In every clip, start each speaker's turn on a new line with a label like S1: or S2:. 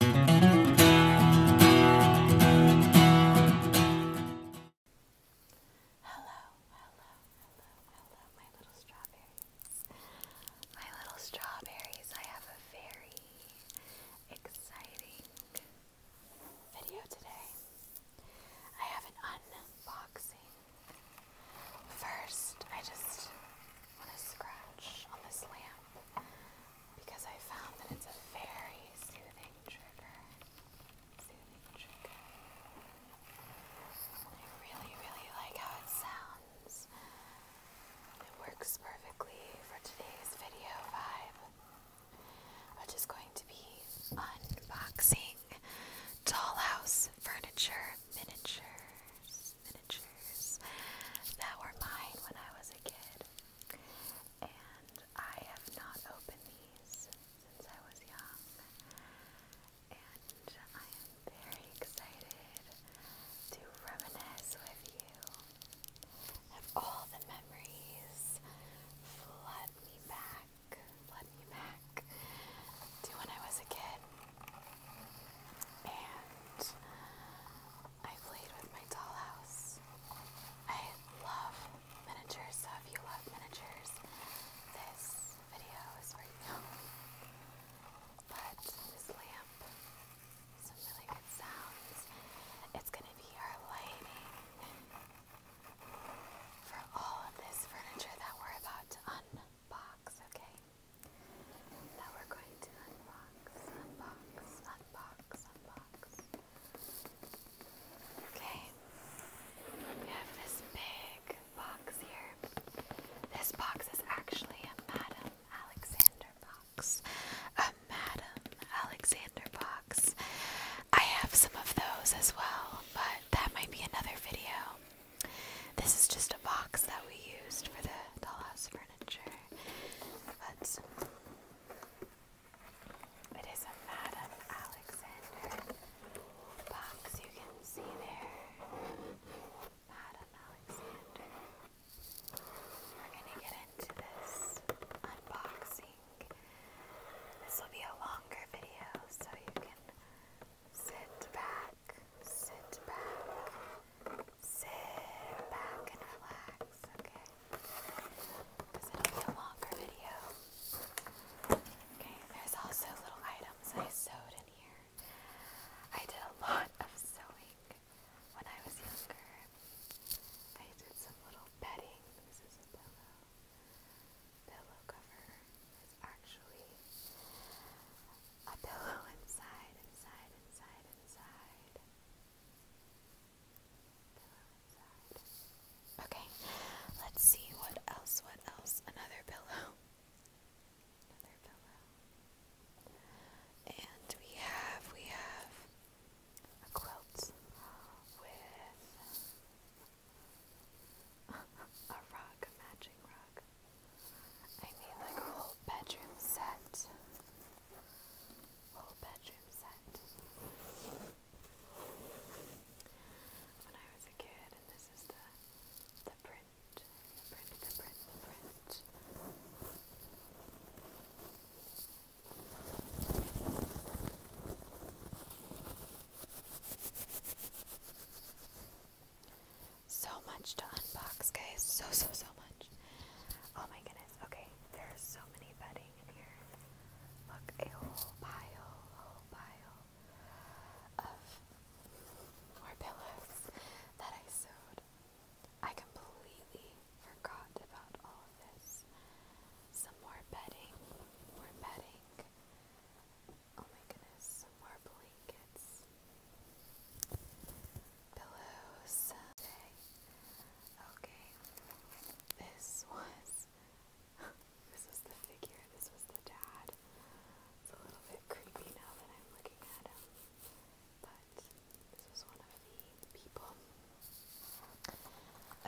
S1: Hello, hello, hello, hello, my little strawberries. My little strawberries, I have a very exciting video today. I have an unboxing. First, I just want to scratch on this lamp because I found that it's a very soothing trigger. Soothing trigger. I really, really like how it sounds. It works perfectly for today's video vibe, which is going to be unboxing dollhouse furniture miniatures. that were mine when I was a kid. And I have not opened these since I was young. And I am very excited to reminisce with you. of all the memories flood me back, flood me back to when I was a kid. And I played with my dollhouse. I love miniatures, if you love miniatures, this video is for you. But this lamp, some really good sounds. It's gonna be our lighting for all of this furniture that we're about to unbox, okay? That we're going to unbox unbox, unbox, unbox. Okay, we have this big box here. This box is actually a Madam Alexander box. A Madam Alexander box. I have some of those as well, but that might be another video. This is just a box that we used for the dollhouse for but it is a Madame Alexander box. You can see there, Madame Alexander. We're gonna get into this unboxing. This will be a longer video, so you can sit back, sit back, Sit back and relax, okay? Because it'll longer video. Okay, there's also little items I sewed in here. I did a lot of sewing when I was younger. I did some little bedding. This is a pillow. Pillow cover is actually a pillow inside, inside, inside, inside okay, let's see what else, what else? Another pillow. Another pillow. And we have, we have a quilt with a rug, a matching rug. I need like a whole bedroom set. When I was a kid, and this is the the print, the print, the print, print. So much to unbox, guys. So so so much. Oh my goodness. Okay, there's so many bedding in here. Look, a whole pile, whole pile of more pillows that I sewed. I completely forgot about all of this. Some more bedding, more bedding. Oh my goodness, more blankets pillows Okay, this was this was the figure. This was the dad. It's a little bit creepy now that I'm looking at him, but this was one of the people.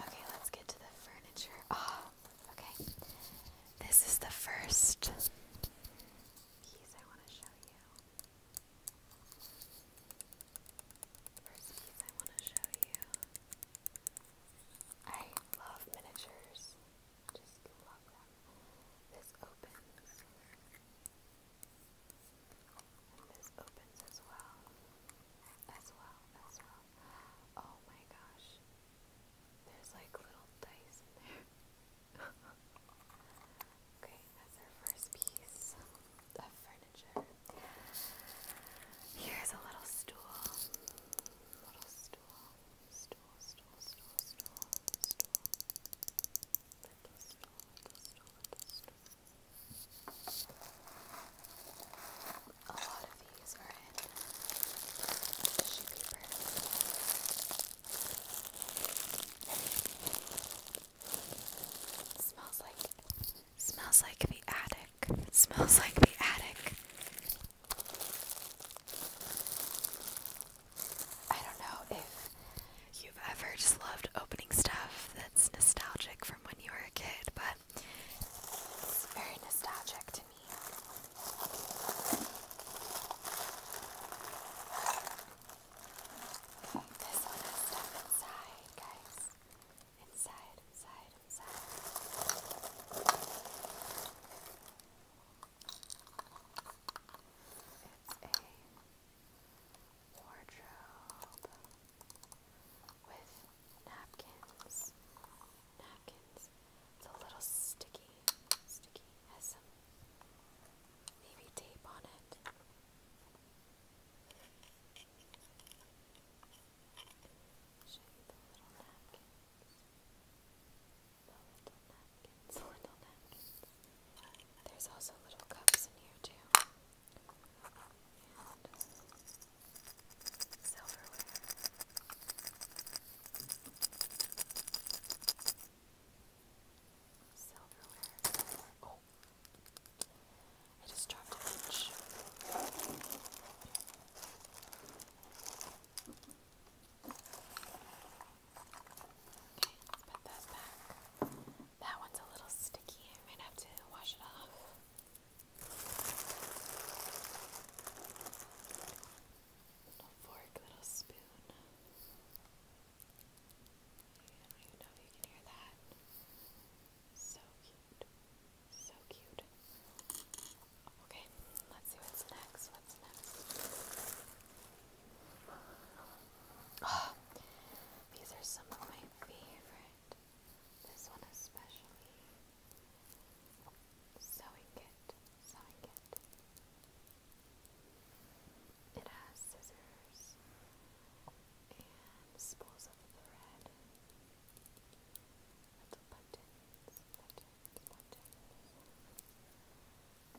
S1: Okay, let's get to the furniture. Ah, okay. This is the first piece I want to show you. First piece I want to show you. I love miniatures. Just love them. This opens. And this opens as well. As well, as well. Oh my gosh. There's like little dice in there. okay, that's our first piece of furniture. Here's a little stool. little stool. A lot of these are in tissue paper. Smells like smells like the attic. Smells like the attic. I don't know if you've ever just loved opening stuff that's nostalgic from when you were a kid, but it's very nostalgic to me. This one is stuff inside, guys. Inside, inside, inside. It's a wardrobe with napkins. Napkins. It's little sticky. Sticky. Has some maybe tape on it. Show you the little napkins. The little napkins, little napkins. There's also little cups in here too. And silverware. Silverware. Oh, I just dropped a bench. Okay, let's put that back. That one's a little sticky. I might have to wash it off. Little fork, little spoon. I don't even know if you can hear that. So cute. So cute. Okay, let's see what's next. What's next? these are some of my favorite. This one especially. Sewing kit. Sewing kit. It has scissors and spools of thread, little buttons, buttons,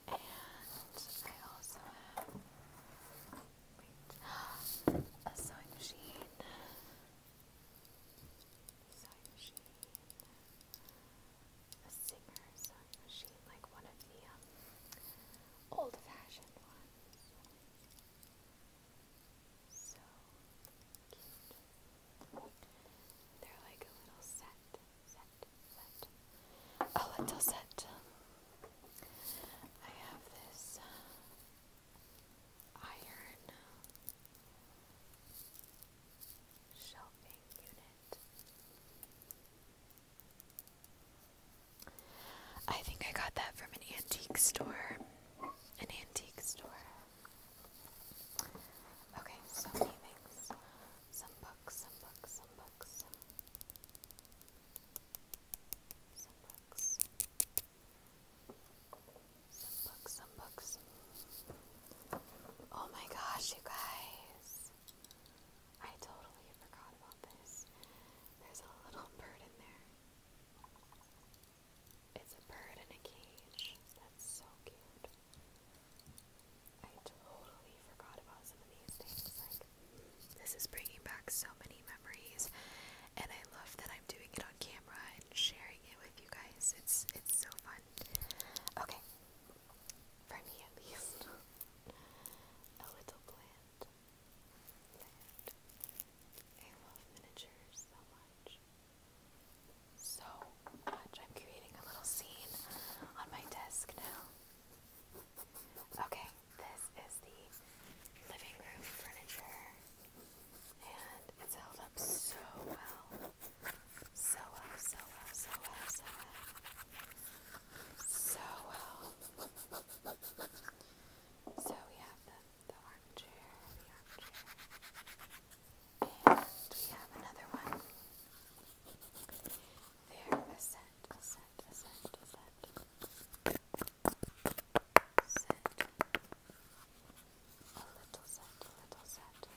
S1: buttons, and I also have wait, a sewing machine, sewing machine, a Singer sewing machine, like one of the um, old fashioned ones. So cute. They're like a little set, a little set. I have this uh, iron uh, shelving unit. I think I got that from an antique store. An antique store. Okay, so many Some books, some books, some books. Some books. Some books, some books. Oh my gosh, you guys. I totally forgot about this. There's a little bird in there. It's a bird in a cage. That's so cute. I totally forgot about some of these things. Like, this is bringing back so many memories, and I love that I'm doing it on camera and sharing it with you guys. It's it's so fun. Okay, for me at least, a little plant. I love miniatures so much. So much. I'm creating a little scene on my desk now. Okay, this is the living room furniture, and it's held up So well, so well, so well, so well. So well. So we have the, the armchair, the armchair, and we have another one. There, a set, a set, a set, a Set. A little set, a little set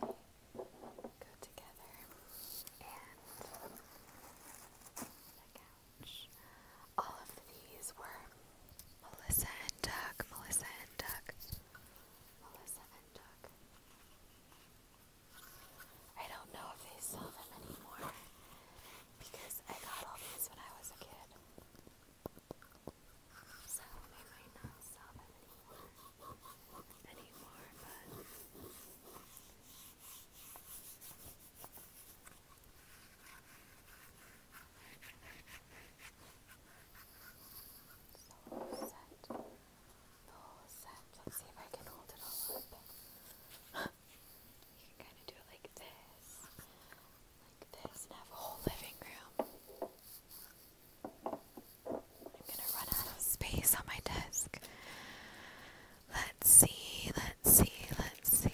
S1: go together and the couch. All of these were Melissa and Duck. Melissa and Duck. Melissa and Duck. I don't know if they sell them anymore because I got all these when I was a kid. So they might not sell them anymore anymore, whole set, the whole set. Let's see if I can hold it all up. you can kind of do it like this, like this, and have a whole living room. I'm gonna run out of space on my desk. Let's see, let's see, let's see.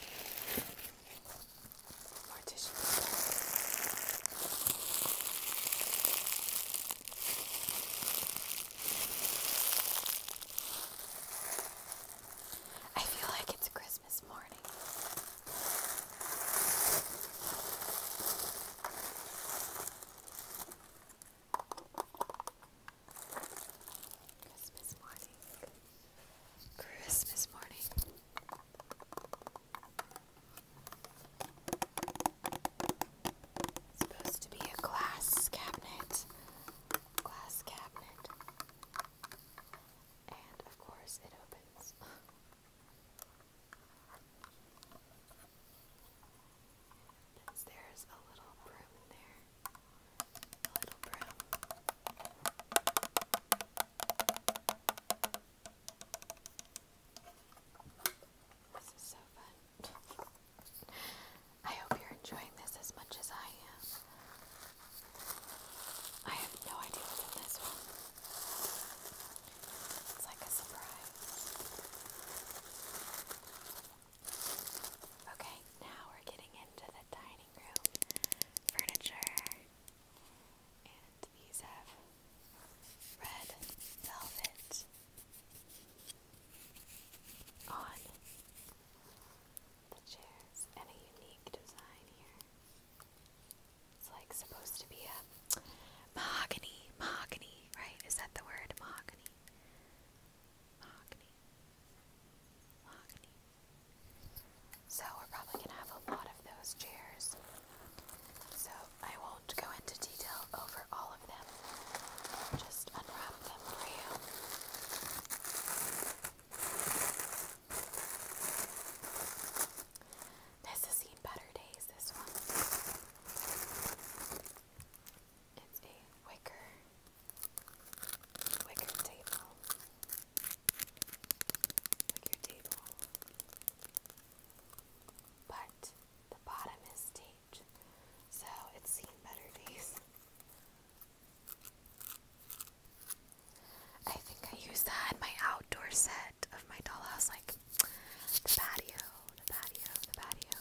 S1: I feel like it's Christmas morning. Christmas morning. Christmas morning. supposed to be a glass cabinet. Glass cabinet. And of course, it opens. there's a little broom there. A little broom. This is so fun. I hope you're enjoying this as much as I am. I have no idea what's in this one. It's like a surprise. Okay, now we're getting into the dining room furniture. And these have red velvet on the chairs and a unique design here. It's like supposed to be a mahogany, mahogany, right? Is that the word? Mahogany. Mahogany. So we're probably going to have a lot of those chairs. So I won't go into detail over all of them. Just unwrap them for you. This has seen better days, this one. It's a wicker wicker table. Wicker table. But the bottom is taped, so it's seen better days. I think I used that in my outdoor set of my dollhouse, like the patio, the patio, the patio.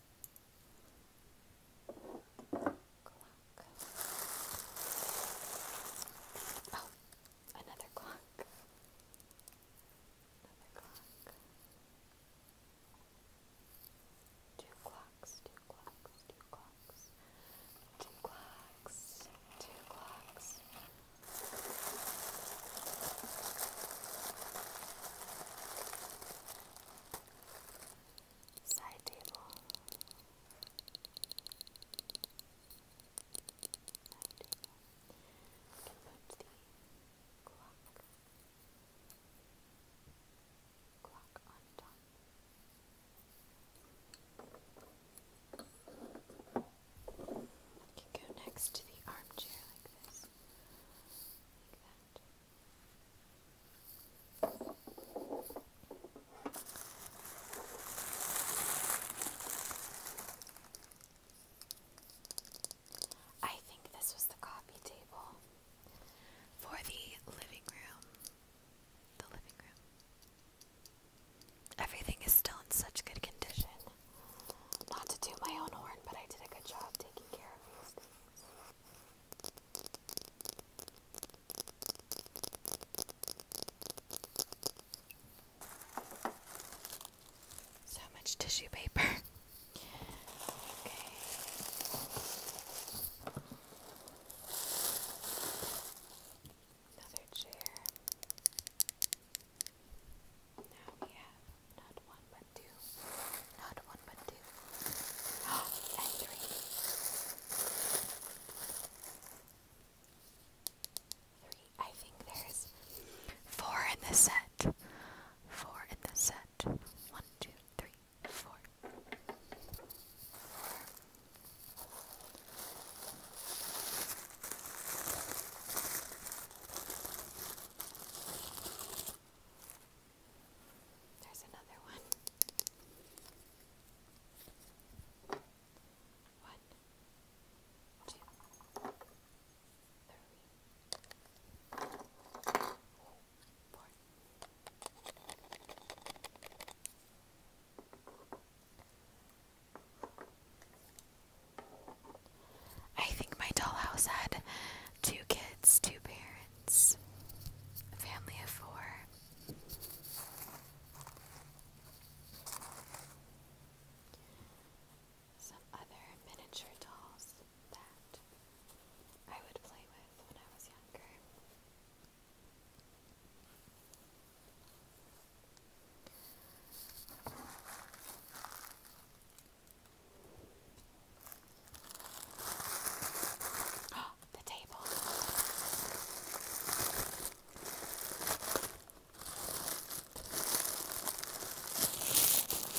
S1: Clock. Oh, another clock. Another clock. Two clocks, two clocks, two clocks, two clocks, two clocks side table. Side table. the clock clock on top. can go next to the armchair like this. Like that. I think this was the coffee table for the living room. The living room. Everything is still in such good condition. Not to do my own horn, but I did a good job taking care of these things. So much tissue paper. okay. Another chair. Now we have not one but two. Not one, but two. and three. Three. I think there's four in the set. Four in the set. One, two, three, four. There's another one. One, two, three, four. I think my dollhouse had two kids, two parents, a family of four. Some other miniature dolls that I would play with when I was younger. the table. The table, the table,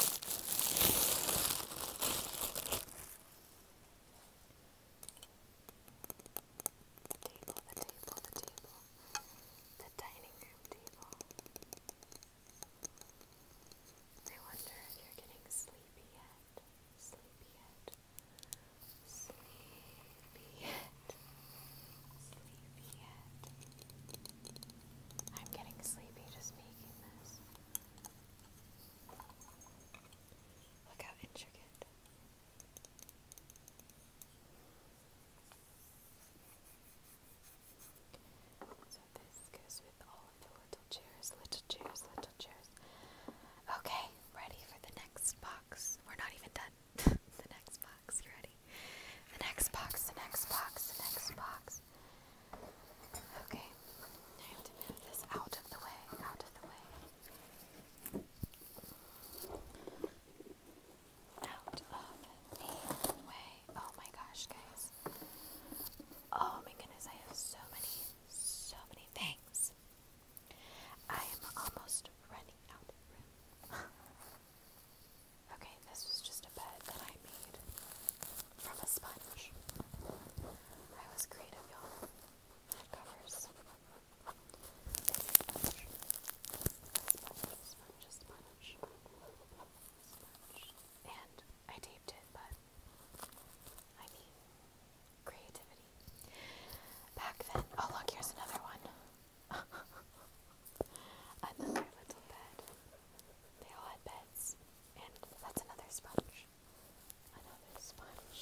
S1: the dining room table. I wonder if you're getting sleepy yet sleepyhead, sleepyhead, sleepyhead. I'm getting sleepy just making this. Look how intricate. So this goes with little, little little chairs, little chairs. Okay, ready for the next box. We're not even done. the next box, you ready? The next box, the next box, the next box. Okay, I have to move this out of the way, out of the way. Out of the way. Oh my gosh, guys. Oh my goodness, I have so many so many things. I am almost running out of room. okay, this was just a bed that I made from a sponge. I was creative, y'all. It covers. Sponge. Sponge, sponge, sponge, sponge. And I taped it, but I mean, creativity. Back then, oh look, here's another one. another little bed. They all had beds. And that's another sponge. Another sponge.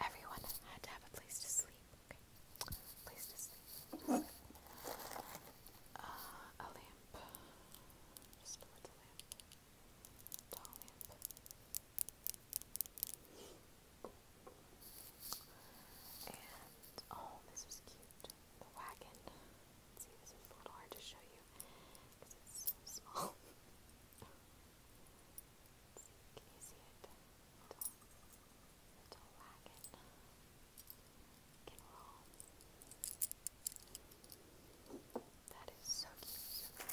S1: Everyone had to have a place to sleep. Okay. Place to sleep. Uh, a lamp the lamp. Tall lamp. And oh, this was cute. The wagon. Let's see, this is a little hard to show you because it's so small. Let's see, can you see it? Little, little wagon. That is so cute.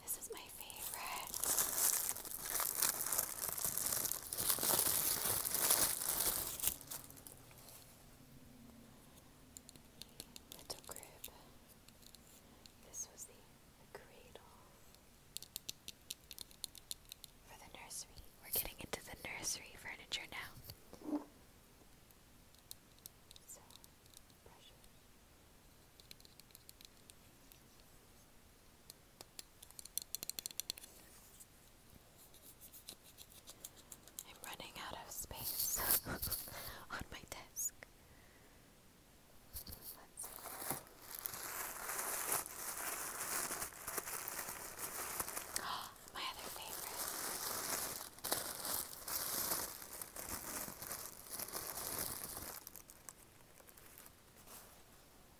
S1: this is my favorite. Little crib. This was the we're getting into the nursery furniture now. I'm running out of space on my desk. Let's see. Oh, my other favorite.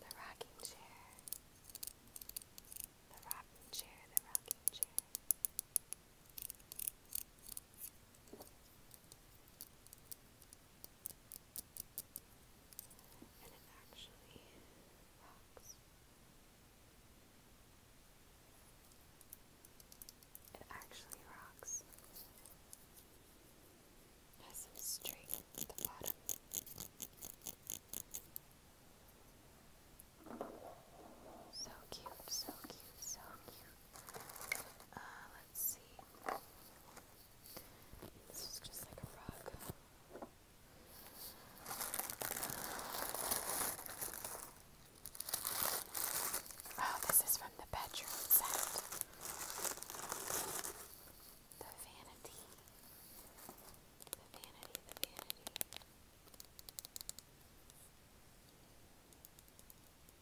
S1: The rocking chair. The rocking chair, the rocking chair. And it actually rocks. It actually rocks. has some strength at the bottom. So cute, so cute, so cute. Uh, Let's see. This is just like a rug. Oh, this is from the bedroom set. The vanity. The vanity, the vanity.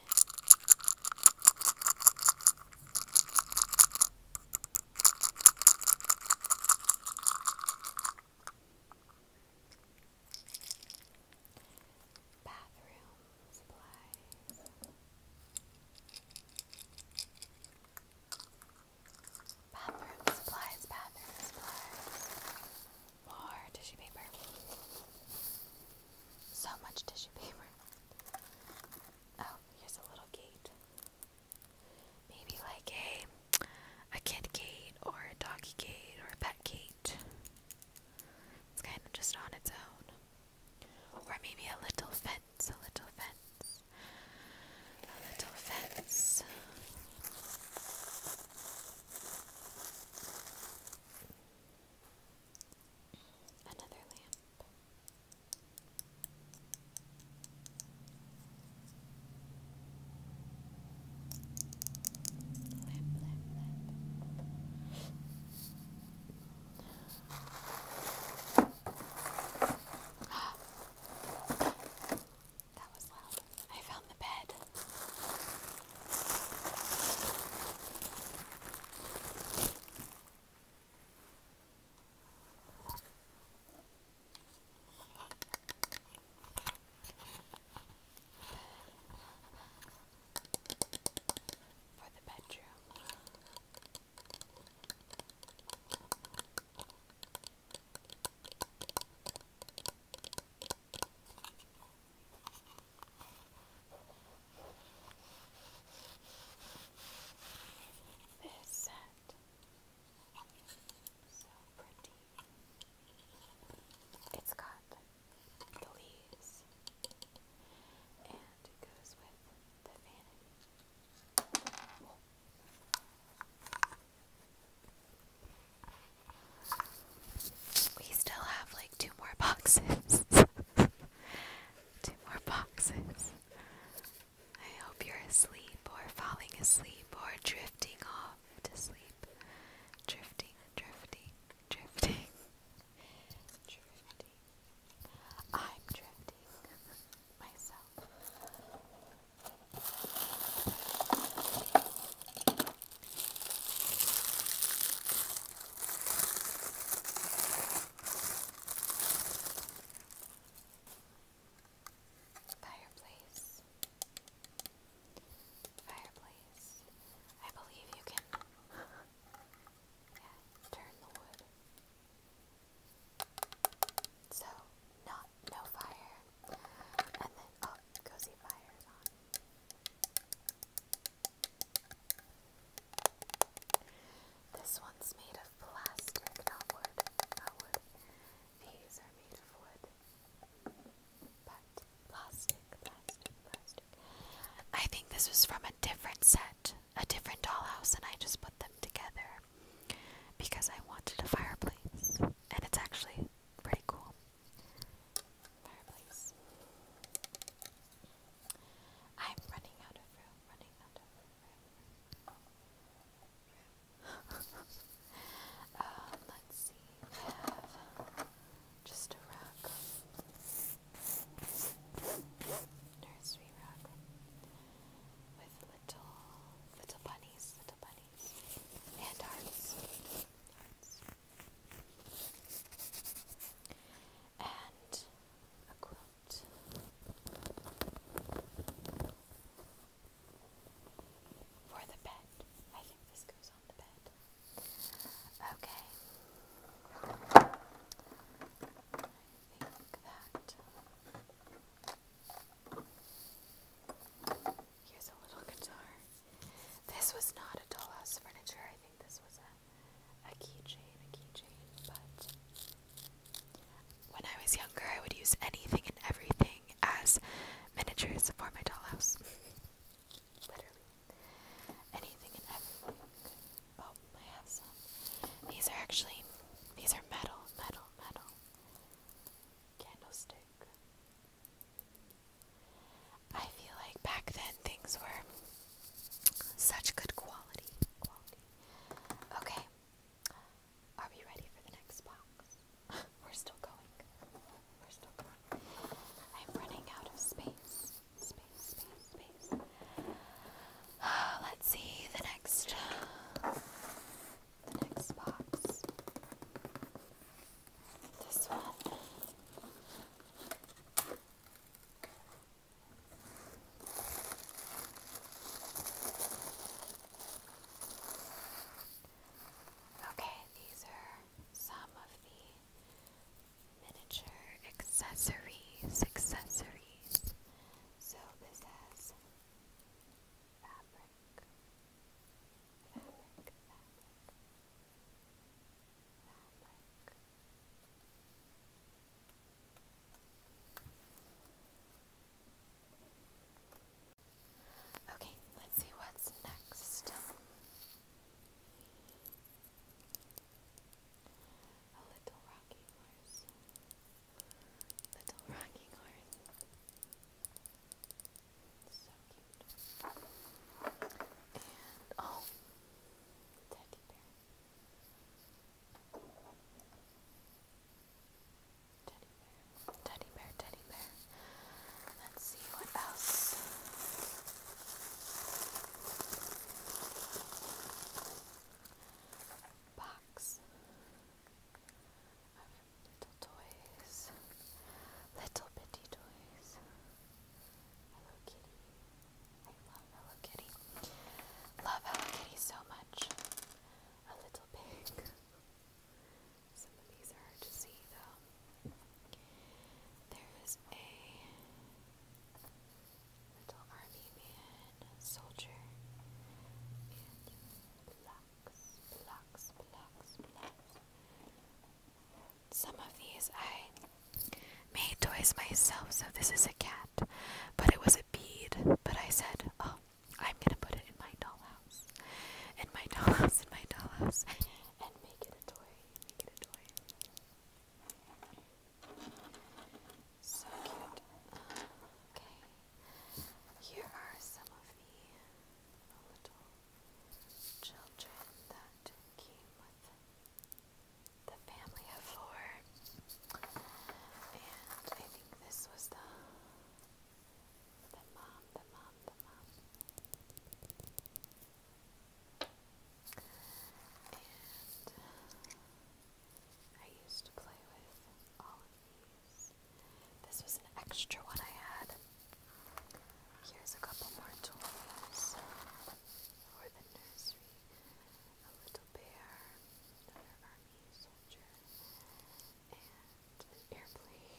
S1: Bathroom supplies. Bathroom supplies, bathroom supplies. More tissue paper. So much tissue paper. Oh, here's a little gate. Maybe like a a kid gate or a doggy gate or a pet gate. It's kind of just on its own. Or maybe a little fence, a little fence. A little fence. Another lamp. Lamp, lamp, lamp. that was loud. I found the bed for the bedroom. This set. So pretty. It's got the leaves and goes with the vanity. We still have like two more boxes. Two more boxes. I hope you're asleep or falling asleep or drifting off to sleep. Drifting, drifting, drifting. Drifting. I'm drifting myself. Fireplace. Fireplace. I believe you can yeah, turn the wood. So, not no fire. And then oh, cozy fires on. This one's made
S2: of plastic, not wood. Not wood. These are made of wood. But plastic, plastic, plastic. I think this was from a
S1: different set, a different dollhouse, and I just put them together because I wanted a fireplace. And it's actually pretty cool. Fireplace. I'm running out of room. Um, let's see, we have just a rack. Nursery rack with little, little bunnies, little bunnies, and hearts. hearts. And a quilt. For the bed. I think this goes on the bed. Okay. I think that. Here's a little guitar. This was not a dollhouse furniture. I think this was a a keychain, a keychain, but when I was younger, I would use anything and everything as miniatures for my dollhouse. Literally. Anything and everything. Oh, I have some. These are actually, these are metal, metal, metal. Candlestick. I feel like back then things were such good quality. Okay. Are we ready for the next box? We're still going. We're still going. I'm running out of space. Space, space, space. Uh, let's see the next the next box. This one. Okay, these are some of the miniature accessories. Accessories. So this has fabric, fabric, fabric, fabric. Okay, let's see what's next. A little rocking horse. Little rocking horse. So cute. And oh, teddy bear. Teddy bear, teddy bear, teddy bear. Let's see what else. Box of little toys, little bitty toys. Hello Kitty, I love Hello Kitty. Love Hello Kitty so much. A little pig. Some of these are hard to see though. There's a little army man, soldier, and blocks, blocks, blocks, blocks. Some of these I made toys myself, so this is a cat, but it was a bead. But I said, Oh, I'm gonna put it in my dollhouse, in my dollhouse, in my dollhouse, and make it a toy, make it a toy. So cute. Okay, here are some of the little children that came the family of four, and I think this was the the mom, the mom, the mom, and I used to play with all of these. This was an extra one I had. Here's a couple more tools for the nursery a little bear, another army soldier, and an airplane.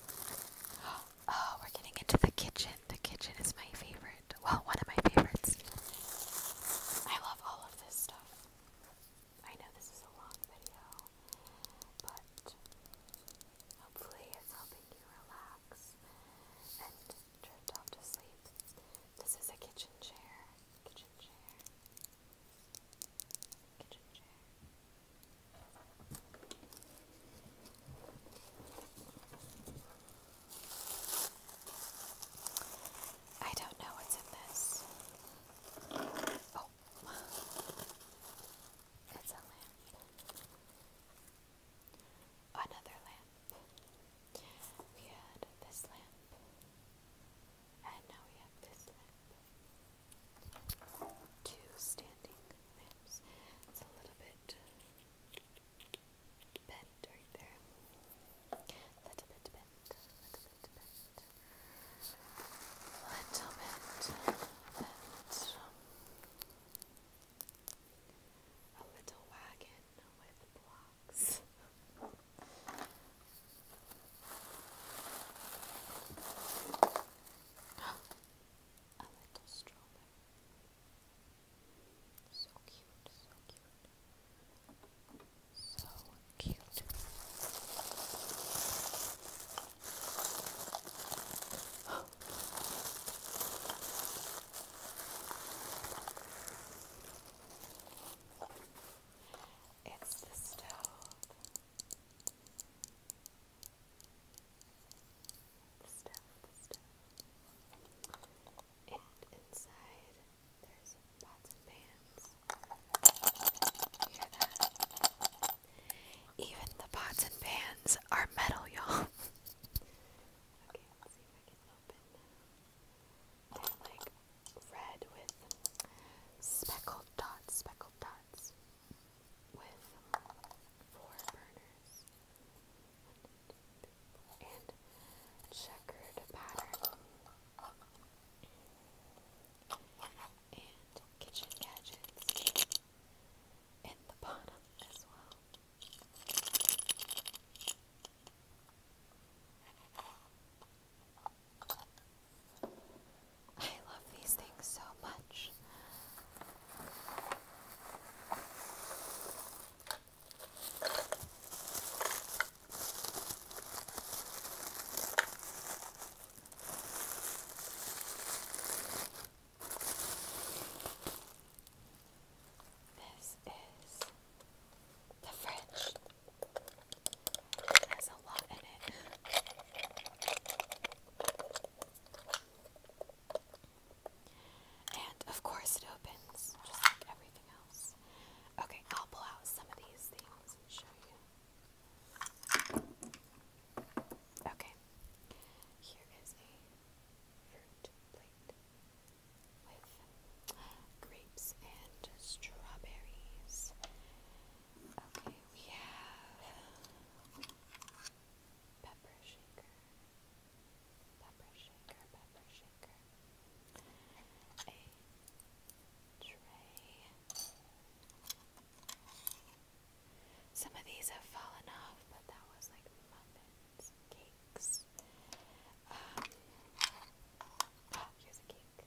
S1: Oh, we're getting into the kitchen. The kitchen is my favorite. Well, one of my favorites. I love all of this stuff. I know this is a long video, but hopefully it's helping you relax and drift off to sleep. This is a kitchen chair. Kitchen chair. Kitchen chair. I don't know what's in this. Oh, that's a lamp. Another lamp. We had this lamp, and now we have this lamp. Two standing lamps. It's a little bit bent right there. A little bit bent little bit, little bit, a little wagon with blocks. a little stroller. So cute, so cute. So cute. it's the stove. The stove, the inside even the pots and pans are metal, y'all. okay, let's see if I can open now. like red with speckled dots, speckled dots with four burners. and checkered pattern and kitchen gadgets in the bottom as well. I love these things so much. This is the fridge. It a lot in it. And of course it opens just like everything else. Okay, I'll pull out some of these things and show you. Okay, here is a fruit plate with grapes and strawberries. Okay, we have pepper shaker, pepper shaker, pepper shaker, some of these have fallen off, but that was like muffins, cakes. Um, oh, here's a cake.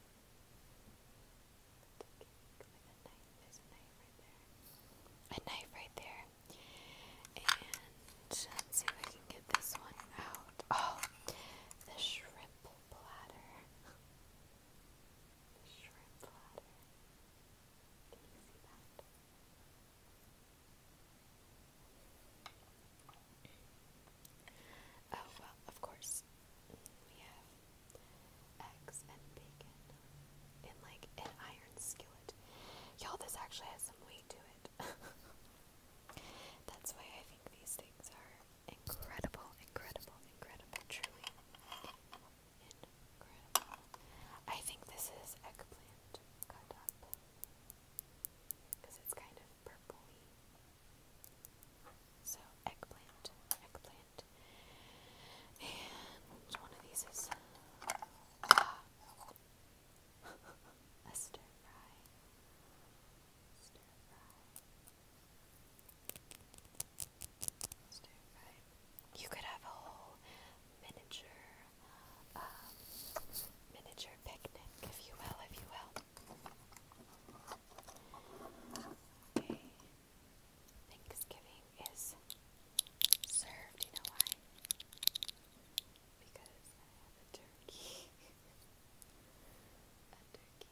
S1: A knife right there. And let's see if I can get this one out. Oh, the shrimp platter shrimp platter. Can you see that? Oh, well, of course, we have eggs and bacon in like an iron skillet. Y'all, this actually has some weight to it. That's why I think these things are incredible, incredible, incredible, truly incredible. I think this is eggplant cut up because it's kind of purpley. So eggplant, eggplant, and one of these is a stir fry. Stir fry. Stir You could have a whole miniature, um, miniature picnic, if you will, if you will. Okay. Thanksgiving is served, you know why? Because I have a turkey. a turkey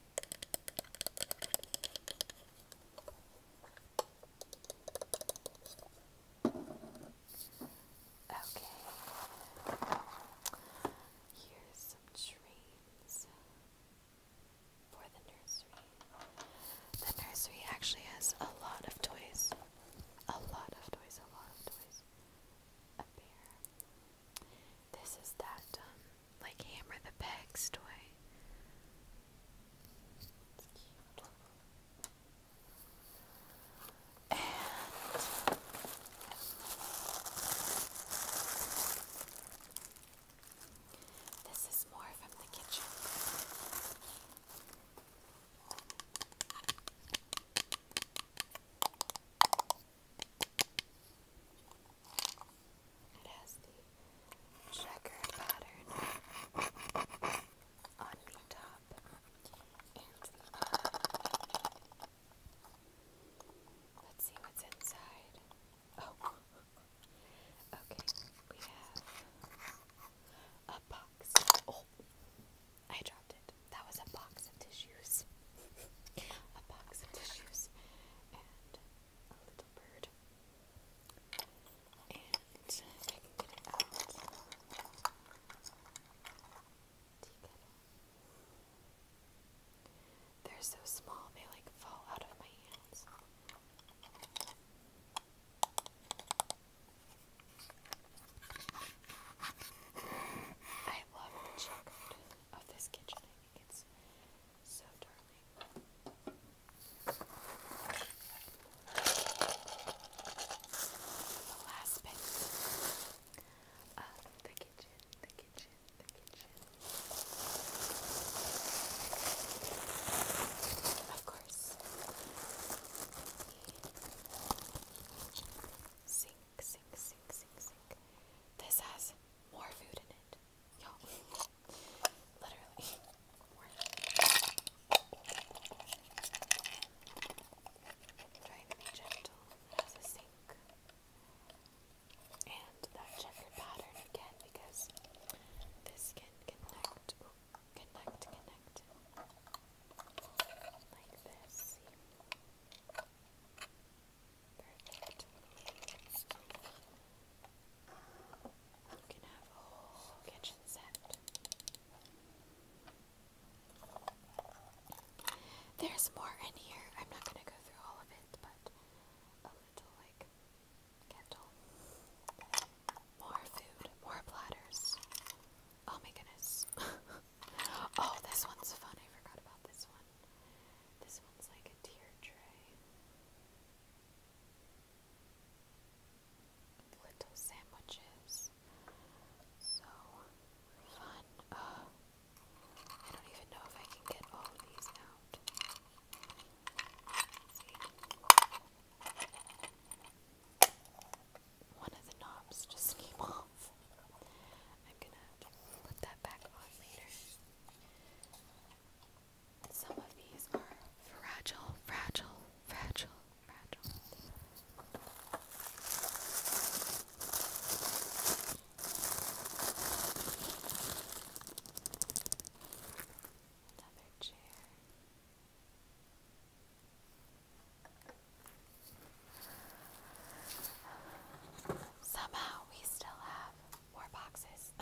S1: Okay. Here's some trains for the nursery. The nursery actually has a lot of toys. A lot of toys, a lot of toys. A bear, this is that, um, like Hammer the Pegs toy. this is more from the kitchen. It has the checker pattern on the top Let's see what's inside. Oh, okay. We have a box. Oh, I dropped it. That was a box of tissues. a box of tissues a little bird. And I can get it out, They're so small, they like fall out of my hands. I love the chocolate of this kitchen it's so darling. The last bit of the kitchen, the kitchen, the kitchen. Of course, sink, sink, sink, sink, sink. This has more food in it it. Literally. trying to be gentle. It a sink. And that checkered pattern again because this can connect. connect, connect. Like this. There's more in here. I'm not going to go through all of it, but a little like kettle. More food, more platters. Oh my goodness. oh, this one's fun. I forgot about this one. This one's like a tear tray. Little sandwiches. So fun. I don't even know if I can get all these out. One of the knobs just came off. I'm gonna put that back on later. Some of these are fragile, fragile, fragile, fragile. Another chair. Somehow we still have more boxes.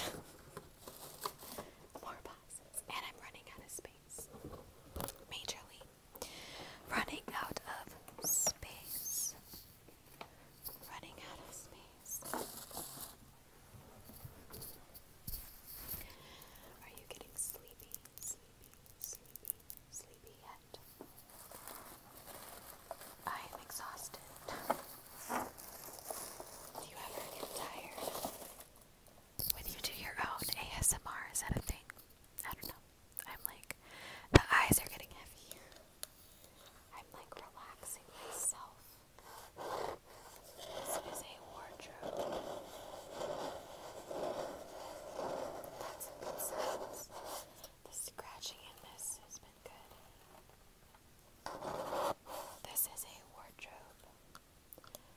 S1: More boxes. And I'm running out of space. Majorly. Running out of space. Running out of space. Are you getting sleepy? Sleepy, sleepy, sleepy yet? I am exhausted. you ever get tired? When you do your own ASMR, is that a thing? I don't know. I'm like, the eyes are getting heavy. I'm like relaxing myself. This is a wardrobe. That's a The scratching in this has been good. This is a wardrobe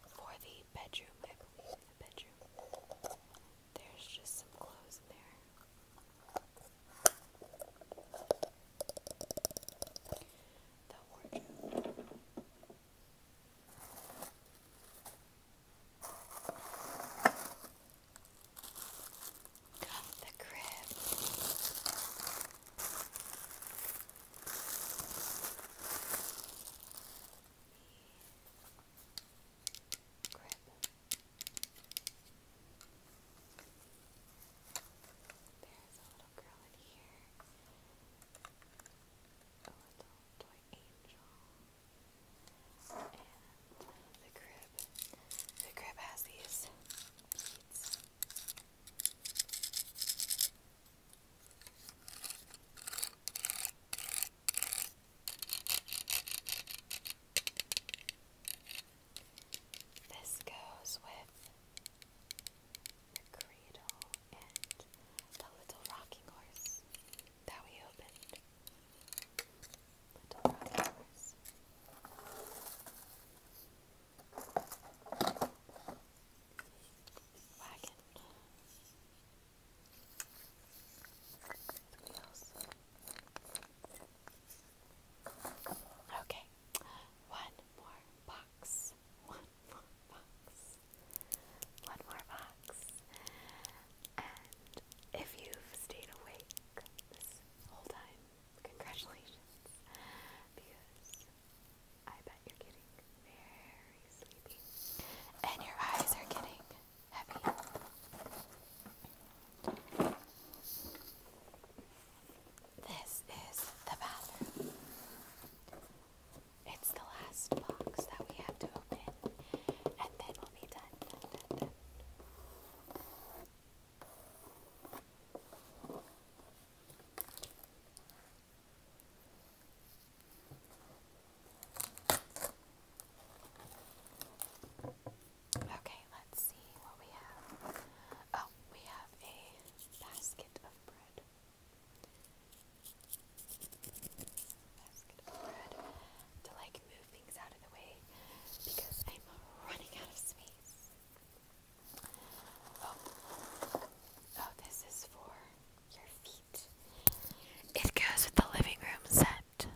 S1: for the bedroom, There's just some clothes in there. The wardrobe the crib. Crib. There's a little girl in here. A little toy angel. And the crib. The crib has these beads. This goes with the cradle and the little rocking horse that we opened. Little rocking horse. Wagon. Okay, one more box. One more box. One more box. And if you've stayed awake this whole time, Congratulations. Because I bet you're getting very sleepy. And your eyes are getting heavy. This is the bathroom. It's the last box that we have to open, and then we'll be done. Okay, let's see what we have. Oh, we have a basket of bread. Basket of bread to like move things out of the way because I'm running out of space. Oh. Oh, it goes with the living room set.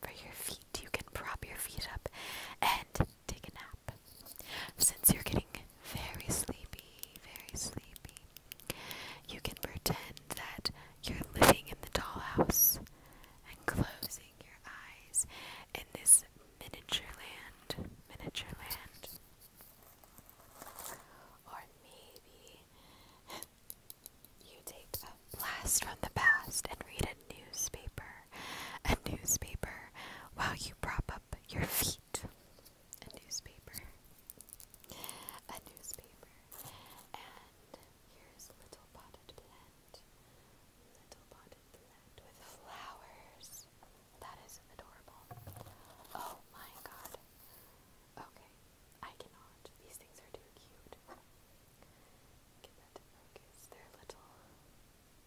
S1: For your feet, you can prop your feet up and take a nap. Since you're getting very sleepy, very sleepy, you can pretend that you're living in the dollhouse and closing your eyes in this miniature land, miniature land. Or maybe you take a blast from the past and read a newspaper, a newspaper while you prop up your feet. A newspaper, a newspaper, and here's little potted plant. Little potted plant with flowers. That is adorable. Oh my god. Okay, I cannot. These things are too cute. Get that to focus. They're little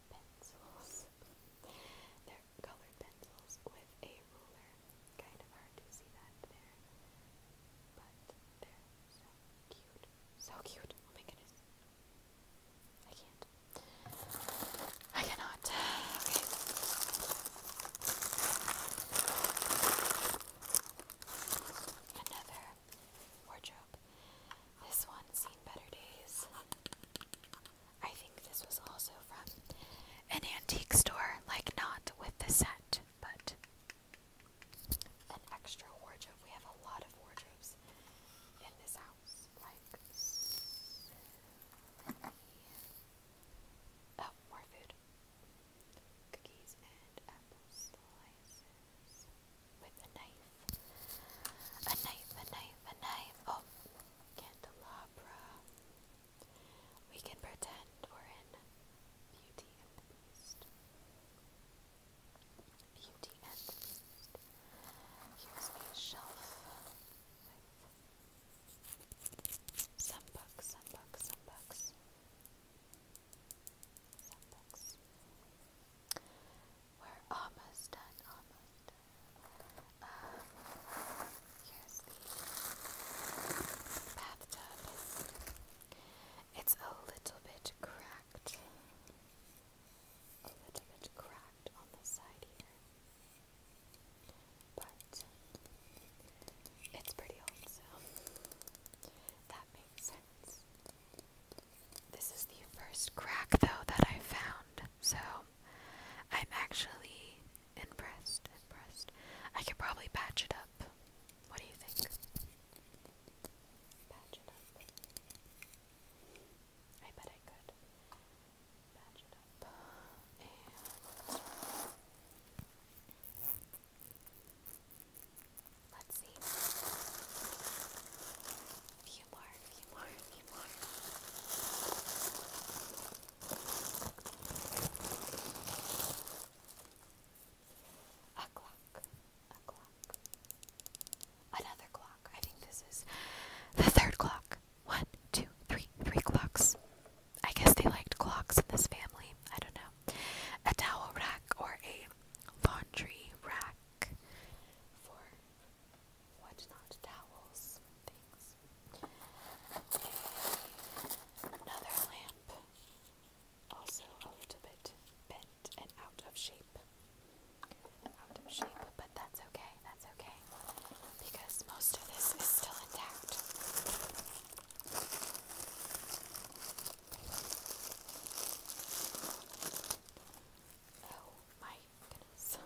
S1: pencils. They're colored pencils with a ruler. Kind of hard to see that there. But they're so cute. So cute. Oh my goodness. I can't. I cannot. Another wardrobe. This one, Seen Better Days. I think this was also from an antique store, like not with the set, but an extra wardrobe. We have a lot of wardrobes in this house, like oh, more food, cookies and apple slices with a knife, a knife, a knife, a knife. Oh, candelabra. We can pretend we're in Beauty and the Beast. Beauty and Here's a shelf some books, some books, some books. Some books. We're almost done, almost here's the bathtub. It's a little bit cracked a little bit cracked on the side here. But um, it's pretty old, so that makes sense. This is the first crack, though, that I found, so I'm actually impressed. Impressed. I could probably patch it up. What do you think? Patch it up. I bet I could let's see. few more, few more, few more. A clock. Another clock. I think this is the third clock. One, two, three, three clocks. I guess they liked clocks in this family. I don't know. A towel rack or a laundry rack for what not towels things. Another lamp, also a bit bent and out of shape. Out of shape, but that's okay, that's okay. Because most of this is still intact. Oh my goodness.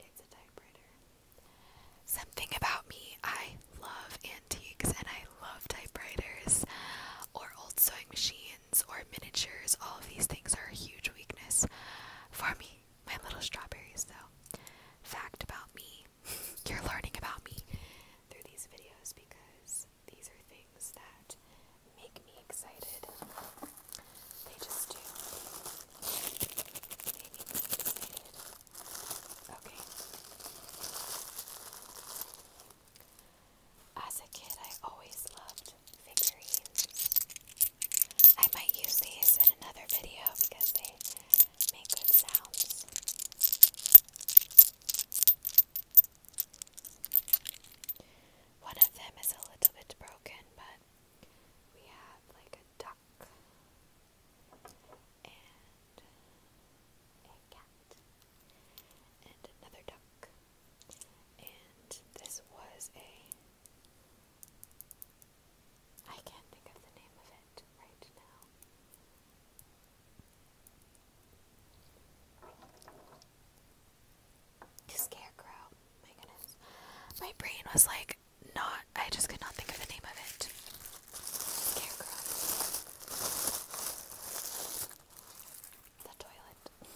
S1: It's a typewriter. Something about me, I love antiques and I love typewriters or old sewing machines or miniatures, all of these things are a huge weakness for me. My little strawberries, though. Fact about me. You're learning about me through these videos because these are things that make me excited. They just do. make me excited. Okay. As a kid, I always loved figurines. I might use these in another video because they make good sounds. One of them is a little bit broken, but we have like a duck and a cat and another duck and this was a. I can't think of the name of it right now. Scarecrow. My goodness. My brain was like, not. I just could not think of the name of it. Scarecrow. The toilet.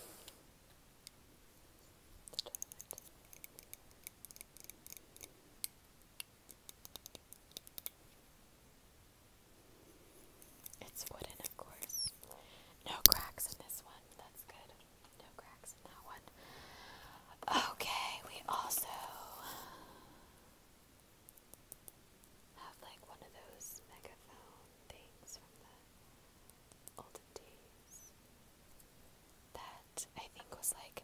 S1: It's wooden, of course. No cracks in this one. That's good. No cracks in that one. Okay, we also have like one of those megaphone things from the olden days. That I think was like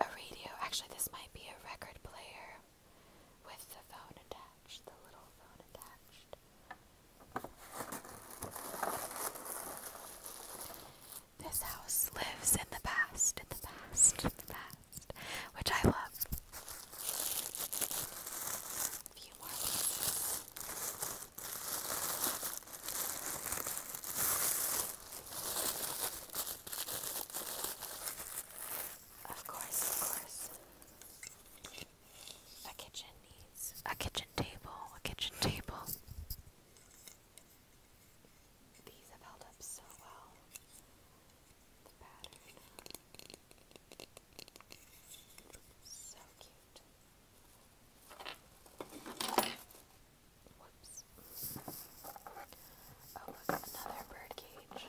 S1: a radio. Actually, this might be a record player with the phone attached, the little phone attached. This house lives in the past, in the past, in the past, which I love few more pieces. Of course, of course. A kitchen needs a kitchen table, a kitchen table. These have held up so well. The pattern. So cute. Whoops. Oh, look, another bird cage.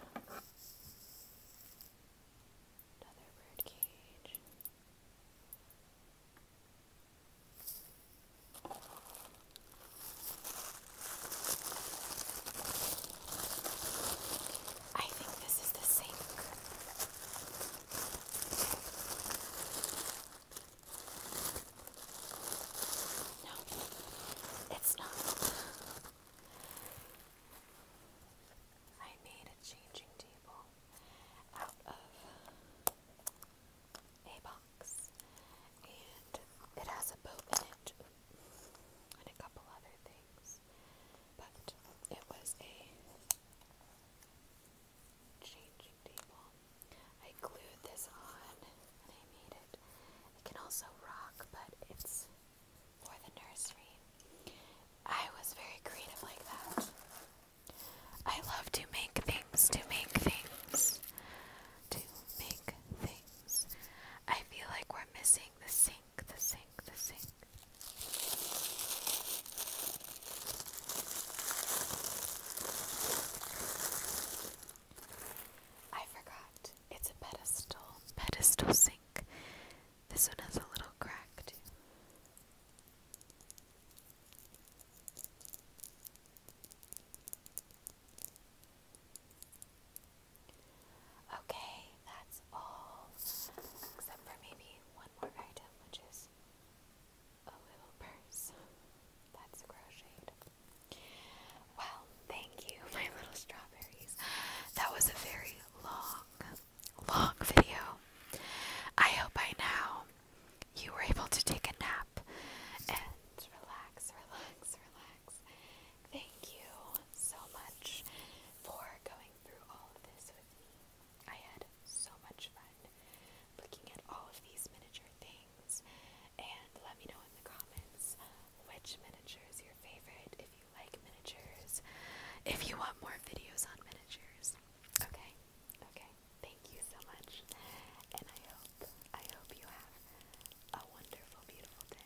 S1: Another bird cage. I think this is the same. No, it's not. I made a changing table out of a box, and it has a boat in it and a couple other things. But it was a changing table. I glued this on and I made it. It can also rock, but it's for the nursery. I was very creative like that. I love to make things, to make things, to make things. I feel like we're missing the sink sink, the sink, the sink. I forgot. It's a pedestal. Pedestal sink. This one has a little crack Okay, that's all, except for maybe one more item, which is a little purse. That's crocheted. Well, thank you, my little strawberries. That was a very long, long video. I hope by now you were able to take a nap and relax, relax, relax. Thank you so much for going through all of this with me. I had so much fun looking at all of these miniature things, and let me know in the comments which miniature is your favorite, if you like miniatures, if you want more videos on miniatures. Okay? Okay. Thank you so much. And I hope, I hope you have a wonderful, beautiful day.